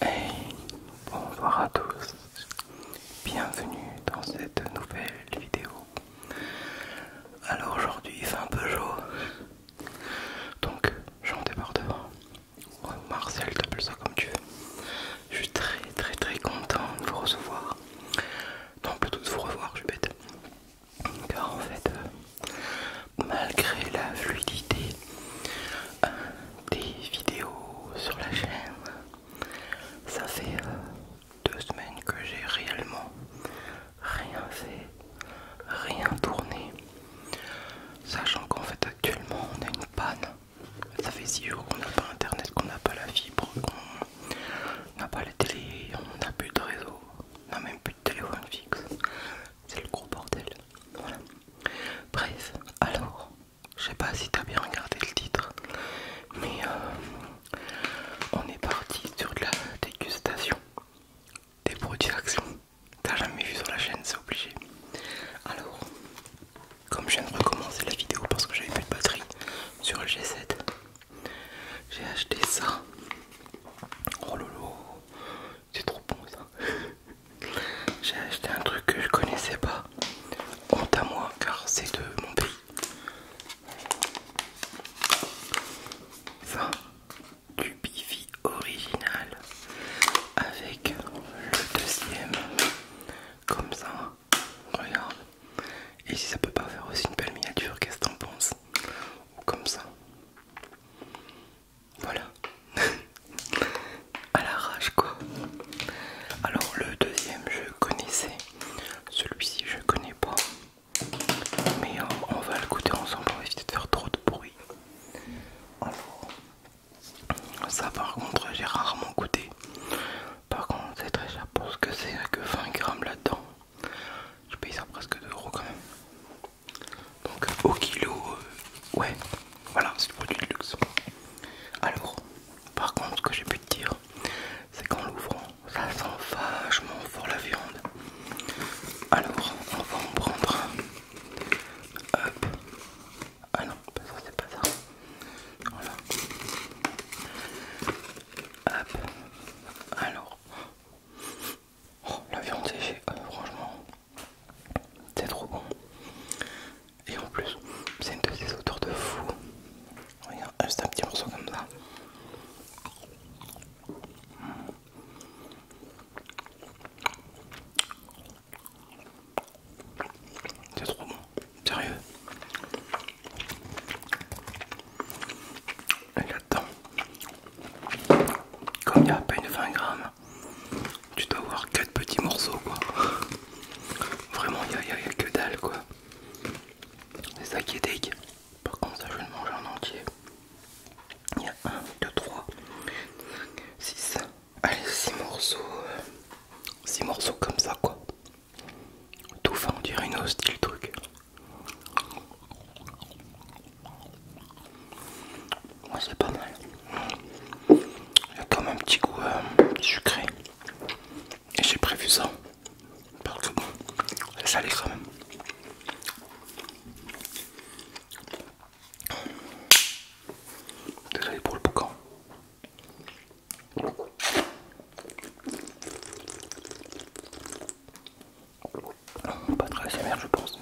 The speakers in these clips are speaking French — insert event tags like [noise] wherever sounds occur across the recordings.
Hey, bonjour à tous, bienvenue dans cette nouvelle vidéo. Alors aujourd'hui c'est un peu chaud, donc j'en débarque devant. Marcel, t'appelles ça comme tu veux. Je suis très très très content de vous recevoir. Non, plutôt de vous revoir, je suis bête. Car en fait, euh, malgré la fluidité euh, des vidéos sur la chaîne, ça fait euh, deux semaines que j'ai réellement rien fait, rien tourné. Sachant qu'en fait actuellement on a une panne. Ça fait six jours qu'on n'a pas internet, qu'on n'a pas la fibre, qu'on n'a pas la télé, on n'a plus de réseau, on n'a même plus de téléphone fixe. C'est le gros bordel. Bref, alors, je sais pas si t'as bien regardé le titre, mais euh, on est parti sur de la dégustation des produits Action. T'as jamais vu sur la chaîne, c'est obligé. Alors, comme je viens de recommencer la vidéo parce que j'avais plus de batterie sur le G7, j'ai acheté ça. Oh lolo, c'est trop bon ça. [laughs] J'ai acheté un truc que je connaissais pas. Honte à moi car c'est de mon pays. Ça, du Bifi original avec le deuxième comme ça regarde et si ça peut pas faire aussi une belle miniature qu'est-ce que t'en penses ou comme ça voilà [laughs] à l'arrache quoi alors le deuxième je connaissais celui-ci je connais pas mais euh, on, va le goûter ensemble pour éviter de faire trop de bruit alors Ça, par contre, j'ai rarement goûté. Par contre, c'est très cher pour ce que c'est, que 20 grammes là-dedans. Je paye ça presque 2 euros quand même. Donc au kilo, euh, ouais, voilà, c'est le produit de luxe. Alors, par contre, ce que j'ai pu te dire, c'est qu'en l'ouvrant, ça sent vachement fort la viande. Alors, on va en prendre Hop. Ah non, c'est pas ça. Voilà. Hop. Alors. Oh, la viande séchée, euh, franchement, c'est trop bon. Et en plus, c'est une de ces de fou. Regarde, juste un petit morceau comme ça. C'est trop bon, sérieux. regarde là comme il y a à peine 20 grammes, tu dois avoir 4 petits morceaux quoi. Vraiment, il n'y a, que dalle quoi. C'est ça qui est dégueu. Par contre, ça je vais le manger en entier. Il y a 1, 2, 3, 6. Allez, 6 morceaux. 6 euh, morceaux comme ça, quoi. Tout fin, on dirait une hostile truc. Moi c'est pas mal. Il y a quand même un petit goût euh, sucré. Et j'ai prévu ça. Parce que bon, ça allait quand même. Désolé pour le boucan. Hein. Pas très sévère, je pense.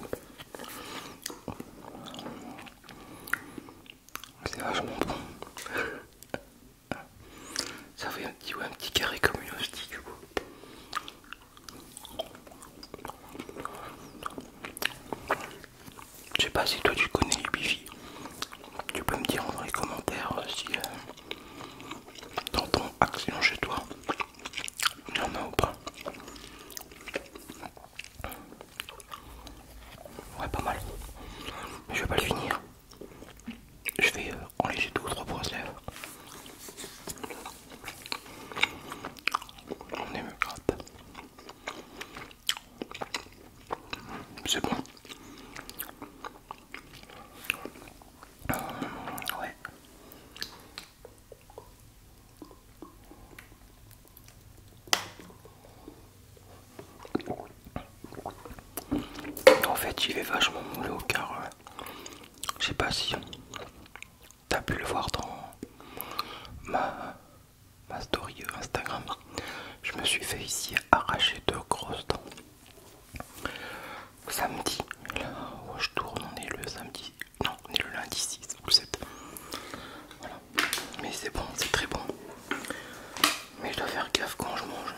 C'est vachement bon. Ça fait un petit, un petit carré comme une hostie, du coup. Je sais pas si toi tu connais les Tu peux me dire dans les commentaires euh, si euh, dans ton action chez toi il y en a ou pas. Ouais, pas mal. je vais pas le finir. Je vais euh, en enlever deux ou trois points lèvres. On C'est bon. Euh, ouais. En fait, j'y vais vachement moelleux au carré, euh, je sais pas si t'as pu le voir dans ma, ma story Instagram, je me suis fait ici arracher deux grosses dents. Samedi, là où je tourne, on est le samedi, non, on est le lundi 6 ou 7. mais c'est bon, c'est très bon. Mais je dois faire gaffe quand je mange.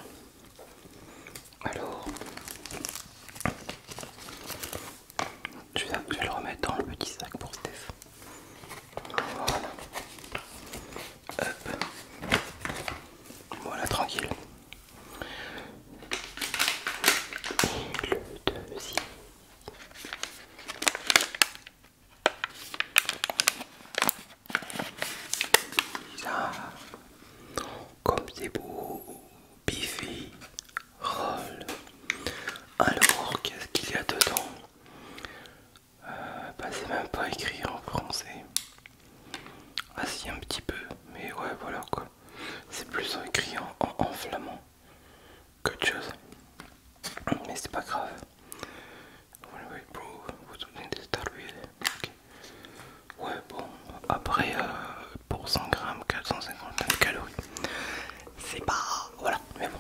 Alors, je vais, le remettre dans le petit sac pour Steph. Voilà. Hop. Voilà, tranquille. Et le deuxième. Ça, comme c'est beau, biffé, alors, qu'est-ce qu'il y a dedans euh, bah, C'est même pas écrit en français. Ah si, un petit peu, mais ouais, voilà quoi. C'est plus écrit en, flamand qu'autre chose. Mais c'est pas grave. Ouais, bon, après euh, pour 100 grammes, 450 calories c'est pas... Voilà, mais bon.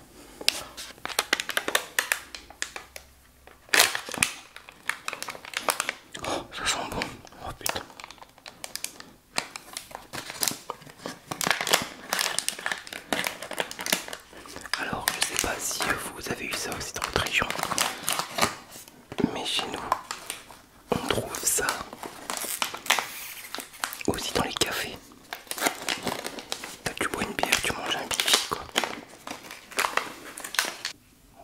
Oh, ça sent bon. Oh, putain. Alors, je sais pas si vous avez eu ça aussi dans votre région, mais chez nous, on trouve ça aussi dans les cafés. Tu bois une bière, tu manges un bifi quoi.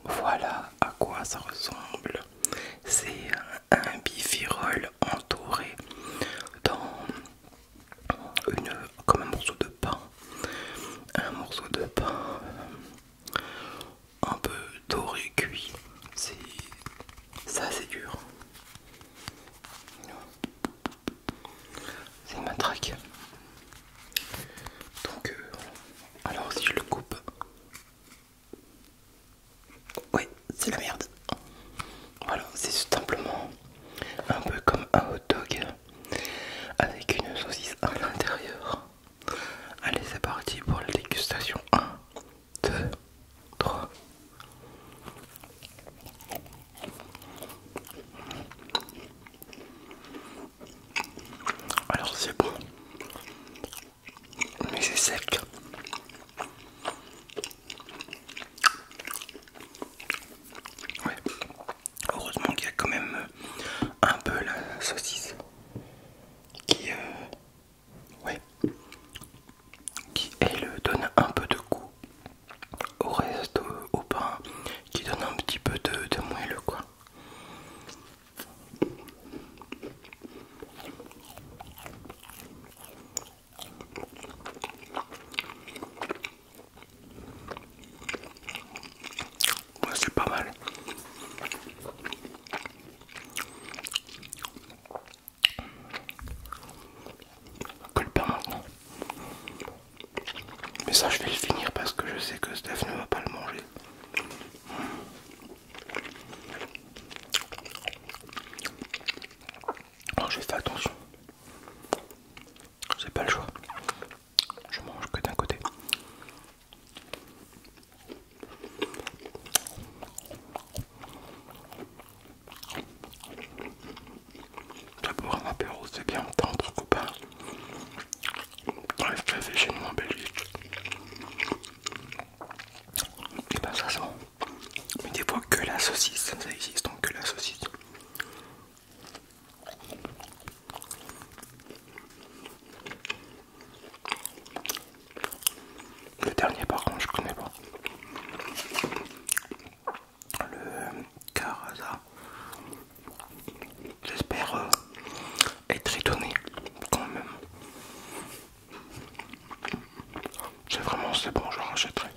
Voilà à quoi ça ressemble. C'est un bifirol entouré dans une comme un morceau de pain. Un morceau de pain euh, un peu doré cuit. C'est ça c'est dur. C'est une matraque, Donc, euh, alors si je le coupe, oui, c'est la merde. Voilà, c'est simplement un peu comme un hot dog avec une saucisse à l'intérieur. Allez, c'est parti pour la dégustation 1. 2, 3. Alors c'est bon, mais c'est sec. Ouais. Heureusement qu'il y a quand même euh, un peu la saucisse qui, euh, oui, Qui elle donne un peu de goût au reste, au, pain, qui donne un petit peu de, de moelleux quoi. c'est pas mal que le pain maintenant. Mais ça, je vais le finir parce que je sais que Steph ne va pas le manger. Alors, je faire attention. J'ai pas le choix. Je mange que d'un côté. D'abord un apéro, c'est bien, on entre copains. Dans chez nous en Belgique. Et ben ça sent. Mais des fois que la saucisse, ça existe donc que la saucisse. Le dernier par contre je connais pas. Le Caraza. J'espère euh, être étonné quand même. C'est vraiment c'est bon, je rachèterai.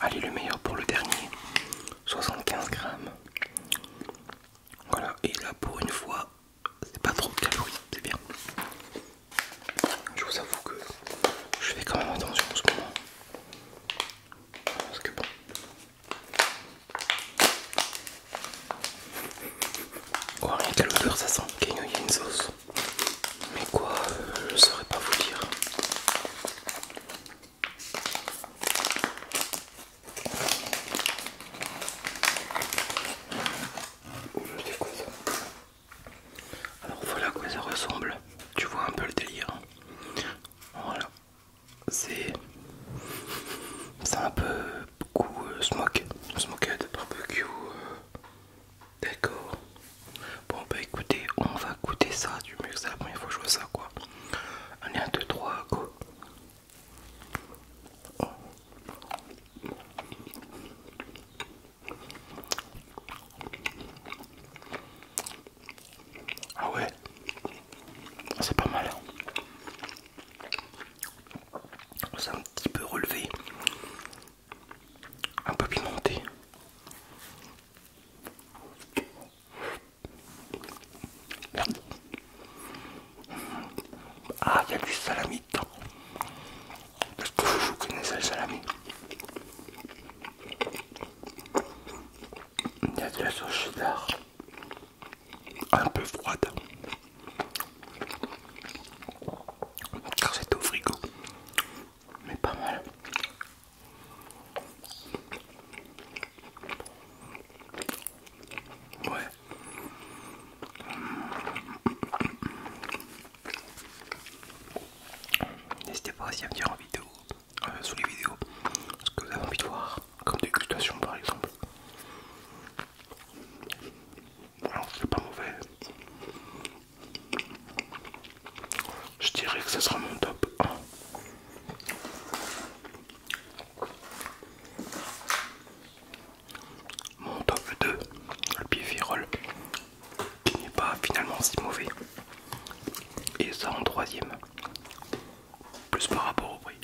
Allez, le meilleur pour le dernier, 75 grammes. Voilà, et là pour une fois, c'est pas trop de calories, c'est bien. Je vous avoue que je fais quand même attention en ce moment. Parce que bon. Oh, rien qu'à l'odeur, ça sent qu'il y a une sauce. Mais quoi, je saurais pas vous dire. Oh, ça Alors voilà à quoi ça ressemble. Tu vois un peu le délire. Voilà. C'est. C'est un peu beaucoup euh, smoke, smoke. Smokehead, barbecue. Euh... D'accord. Bon bah écoutez, on va goûter ça du mieux que c'est la première fois que je vois ça quoi. est 1, 2, 3, go. Ah ouais, c'est pas mal. Hein. C'est un petit peu relevé, un peu pimenté. Ah, il y a du salami dedans. Est-ce que vous connaissez le salami Il y a de la sauce cheddar un peu froide car c'est au frigo, mais pas mal. Ouais. N'hésitez pas aussi à me dire en vidéo, euh, sous les vidéos, ce que vous avez envie de voir, comme des dégustation par exemple. Alors c'est pas mauvais. Je dirais que ce sera mon top 1. Mon top 2, le virol qui n'est pas finalement si mauvais. Et ça en troisième, plus par rapport au prix.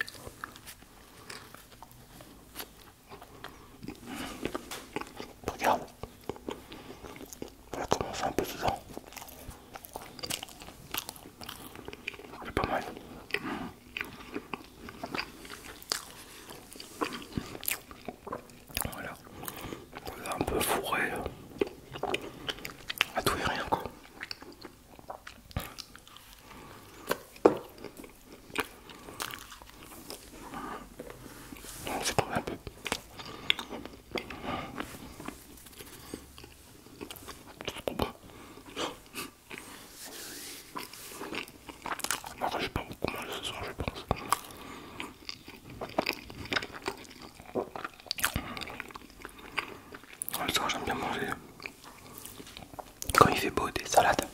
Regarde, on va commencer un peu dedans. C'est pas mal. Voilà. Voilà un peu fourré à tout et rien quoi. C'est un peu. Non, trop j'ai pas beaucoup mal ce soir, je pense. Le soir, j'aime bien manger quand il fait beau des salades.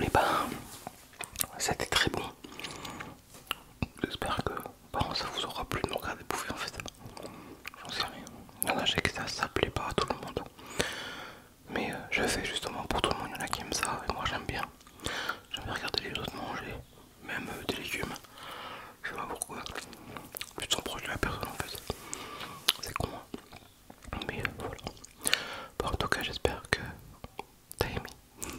Et ben, c'était très bon. J'espère que ça vous aura plu de me regarder bouffer en fait. J'en sais rien. Il y que ça, plaît pas à tout le monde. Mais euh, je fais justement pour tout le monde. Il y en a qui aiment ça et moi j'aime bien. J'aime bien regarder les autres manger, même euh, des légumes. Je sais pas pourquoi plus s'en proche de la personne en fait. C'est con. moi hein. Mais voilà. Bon, en tout cas, j'espère que t'as aimé.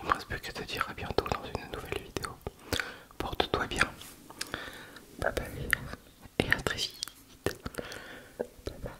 Il me reste plus qu'à te dire à bientôt dans une nouvelle vidéo. Porte-toi bien. Bye Et à très vite. Bye bye.